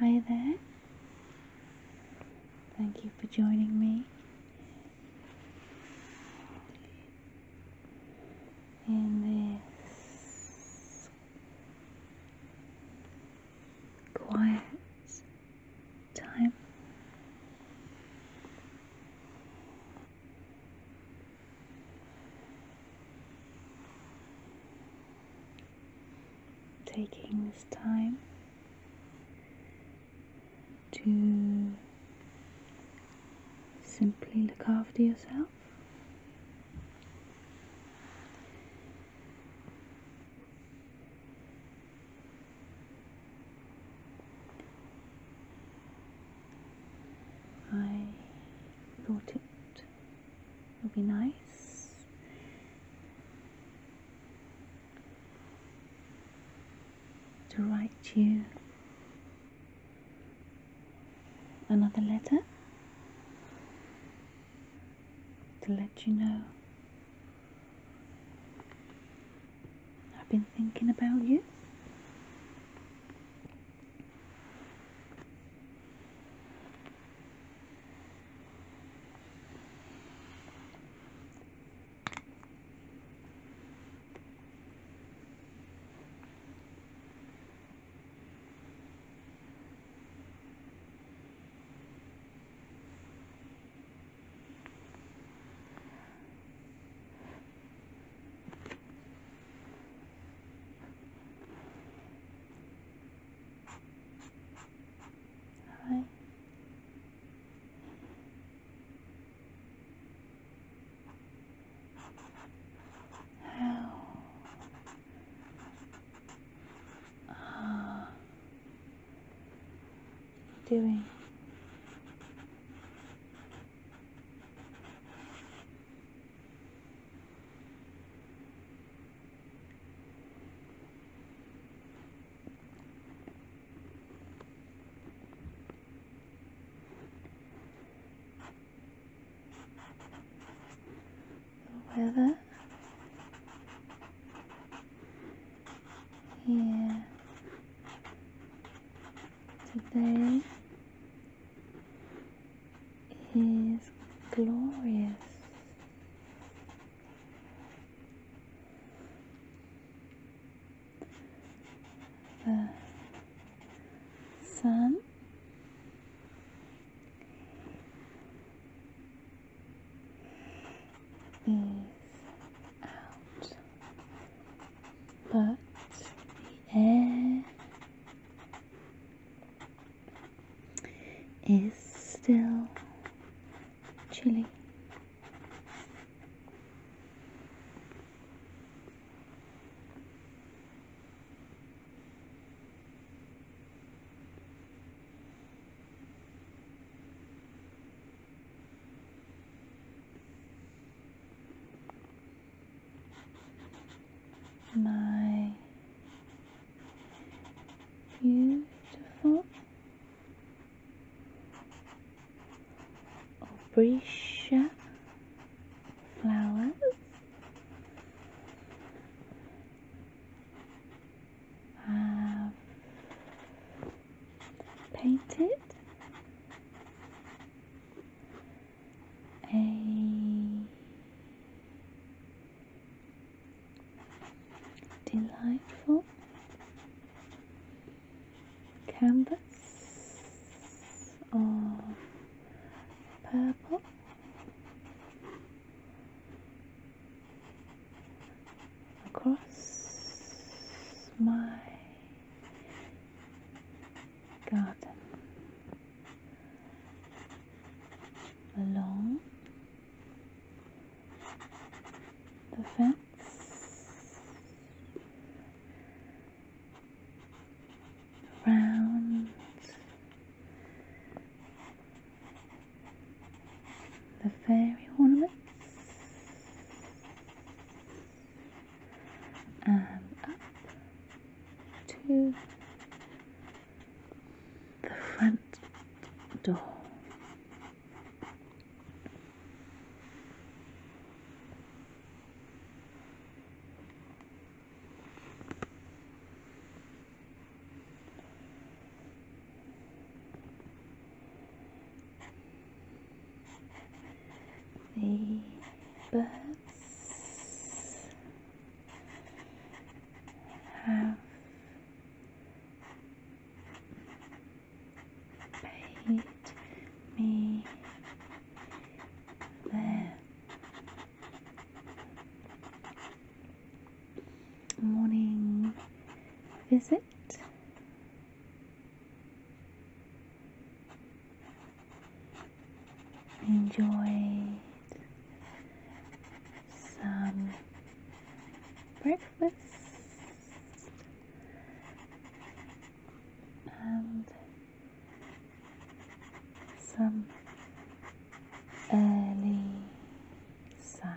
Hi there. Thank you for joining me in this quiet time. Taking this time to simply look after yourself. I thought it would be nice to write you another letter to let you know I've been thinking about you. All right. How are uh, doing. The weather here Today is glorious. The sun is out, but the air is still chilly my beautiful Orisha flowers. Have painted a delightful canvas of purple across my garden along the fence round the fairy ornaments. And up to the front door the birds have paid me their morning visit out. Enjoy some breakfast and some early sun.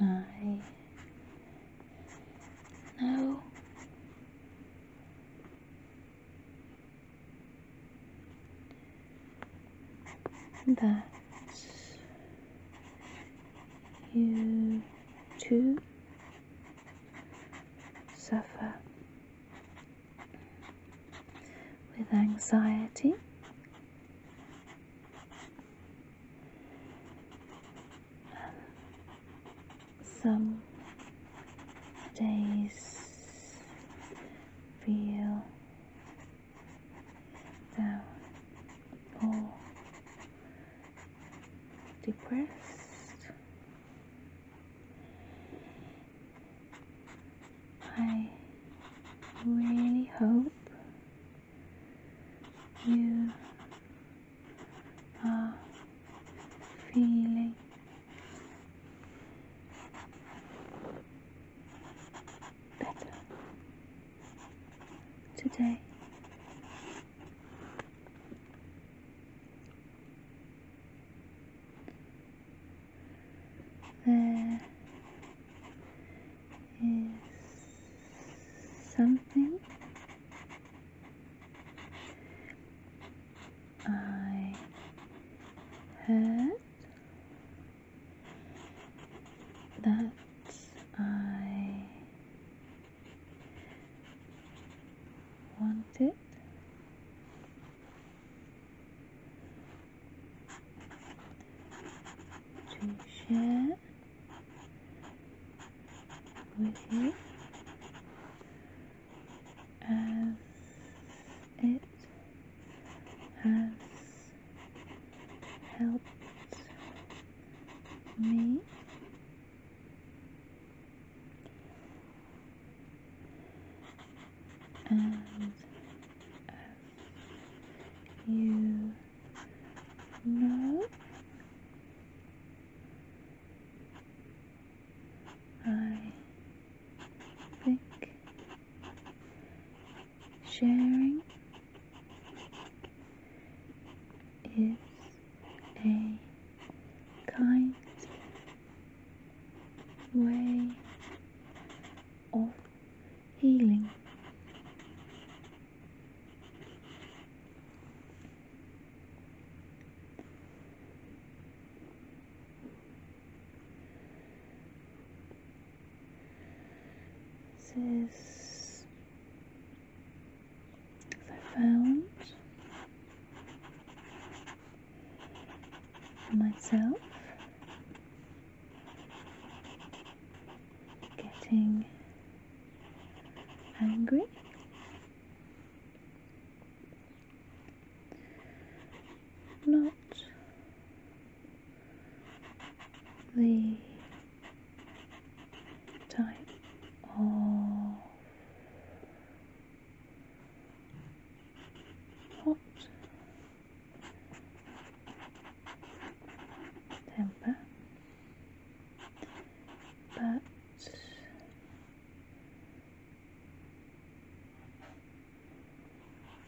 I know that you too suffer with anxiety some days feel down or depressed. I really hope you are feeling. Better today. There is something I had that I wanted to share with you as it has helped me and as you no. I think sharing is a kind way of healing. This is I found myself getting angry. Not the type of hot temper, but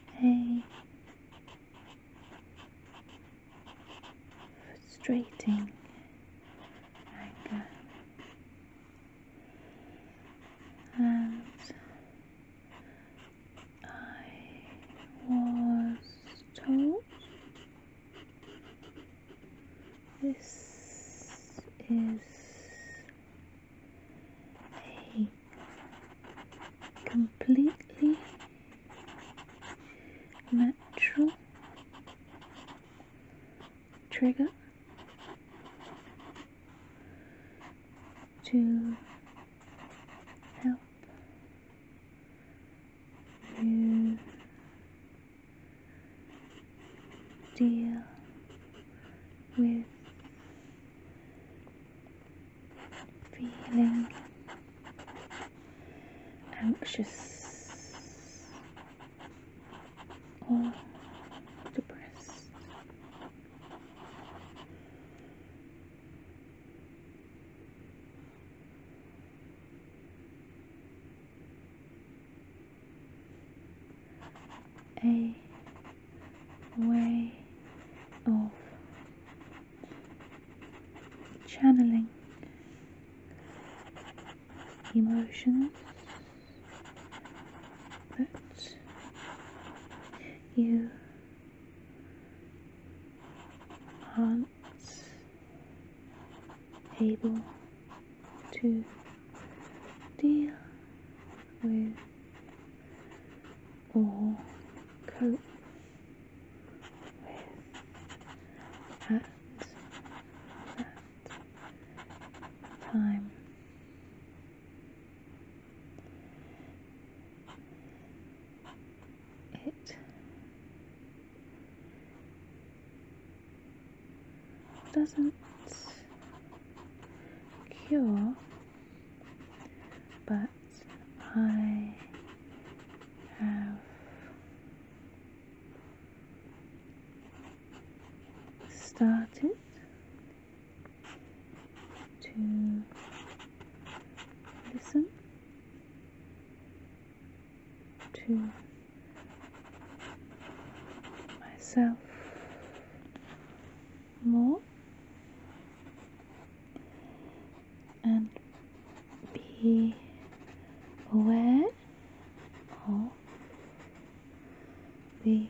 frustrating anger and I was told this is a completely natural trigger to help you deal with feeling anxious or depressed a way of channeling emotions that you Hunts able to deal with or cope with at that time it doesn't cure, but I have started to listen to myself more and be aware of the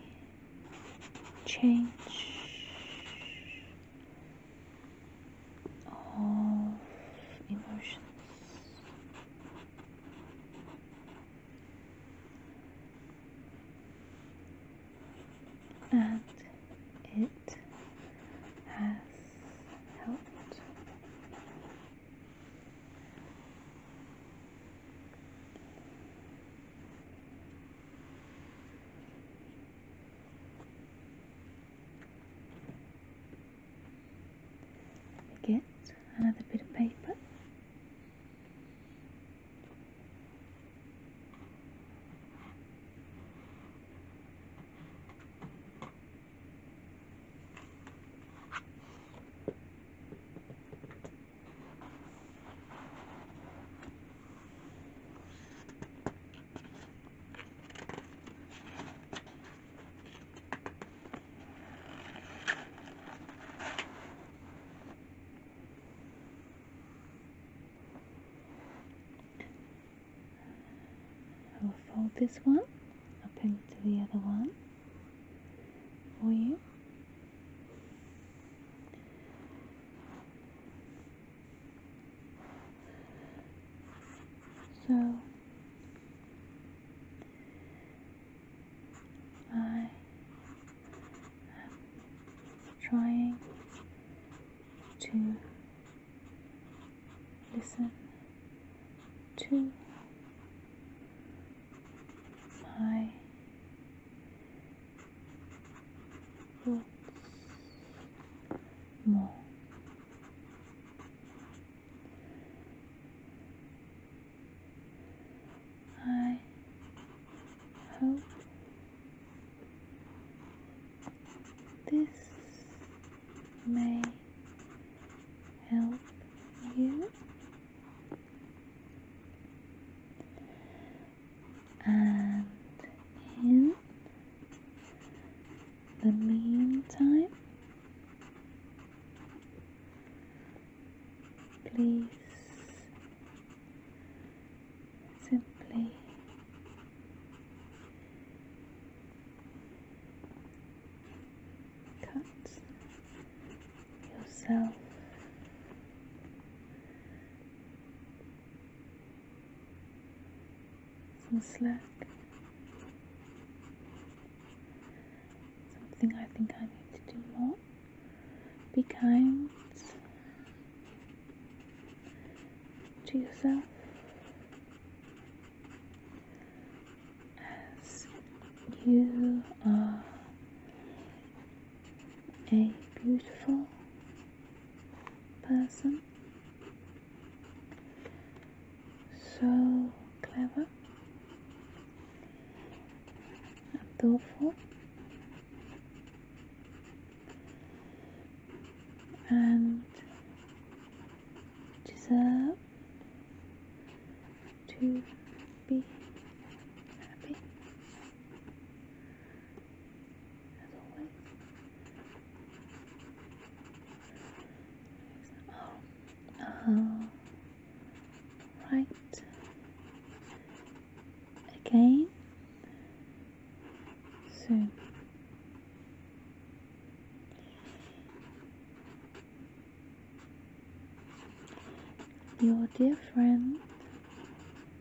change of emotions. And it has helped. Get another bit of paper. I'll fold this one up into the other one for you. So I am trying to listen to five what's more. I hope this may help you and in the meantime, please simply cut yourself some slack. Something I think I need to do more. Be kind to yourself. As you are a beautiful person, so clever and thoughtful, and deserve to be happy. Oh, right. Again. So. Your dear friend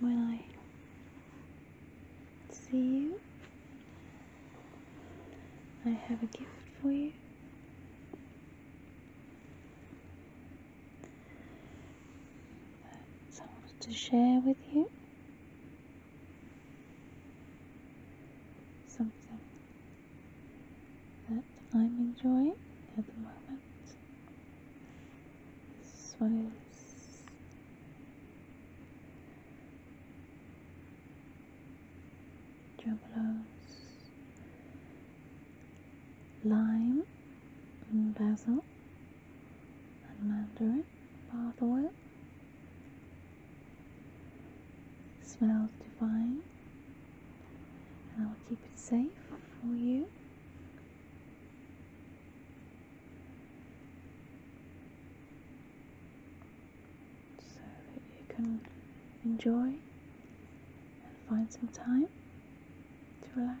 when I see you, I have a gift for you. That I wanted to share with you. Something that I'm enjoying at the moment. This one is Jumbo's lime and basil and mandarin bath oil. It smells divine and I'll keep it safe for you. So that you can enjoy and find some time to relax.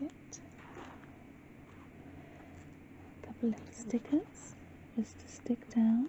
Get a couple of stickers just to stick down.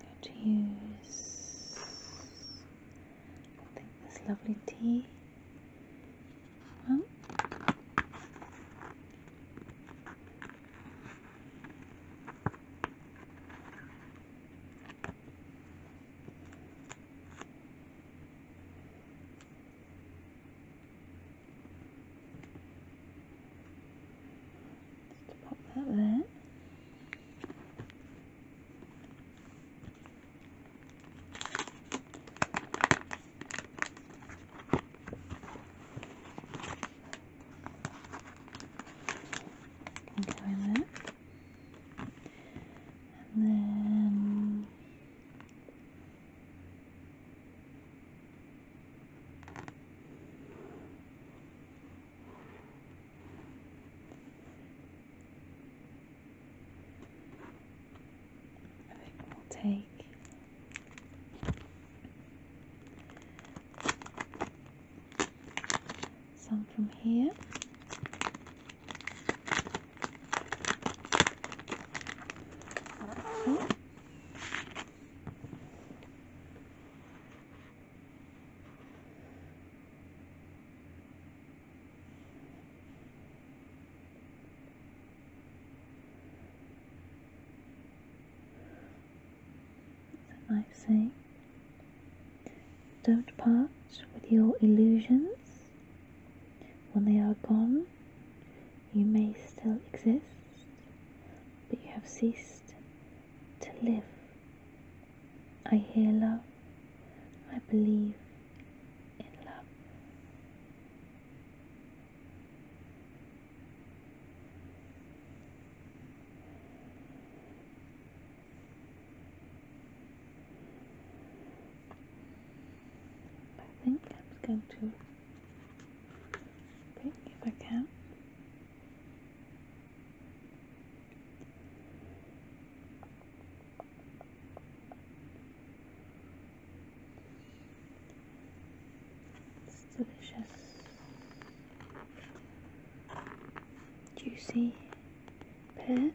I'm going to use, this lovely tea. Just pop that there. Go in there. And then I think we'll take some from here. It's a saying. Don't part with your illusions. When they are gone, you may still exist, but you have ceased to live. I hear love, I believe in love. I think I'm going to pick if I can it's delicious, juicy pear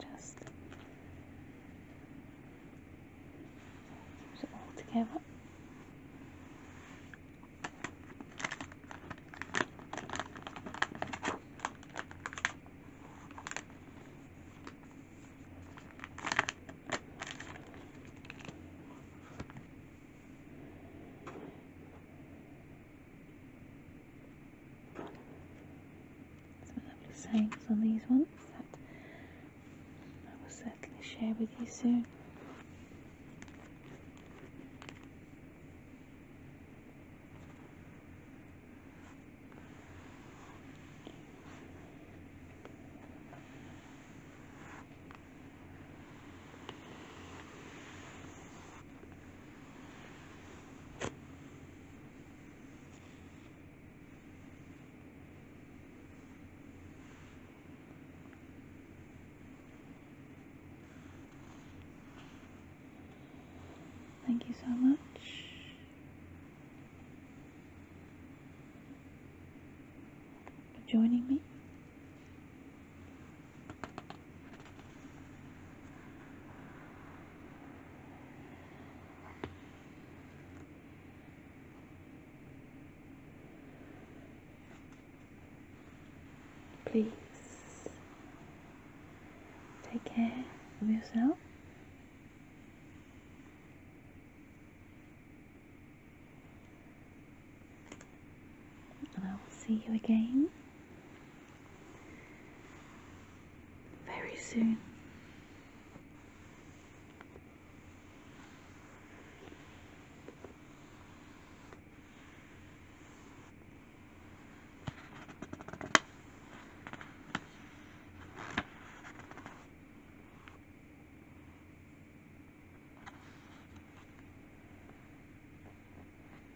just use it all together. Some lovely sayings on these ones that I will certainly share with you soon. Thank you so much. For joining me Please take care of yourself. And I will see you again very soon.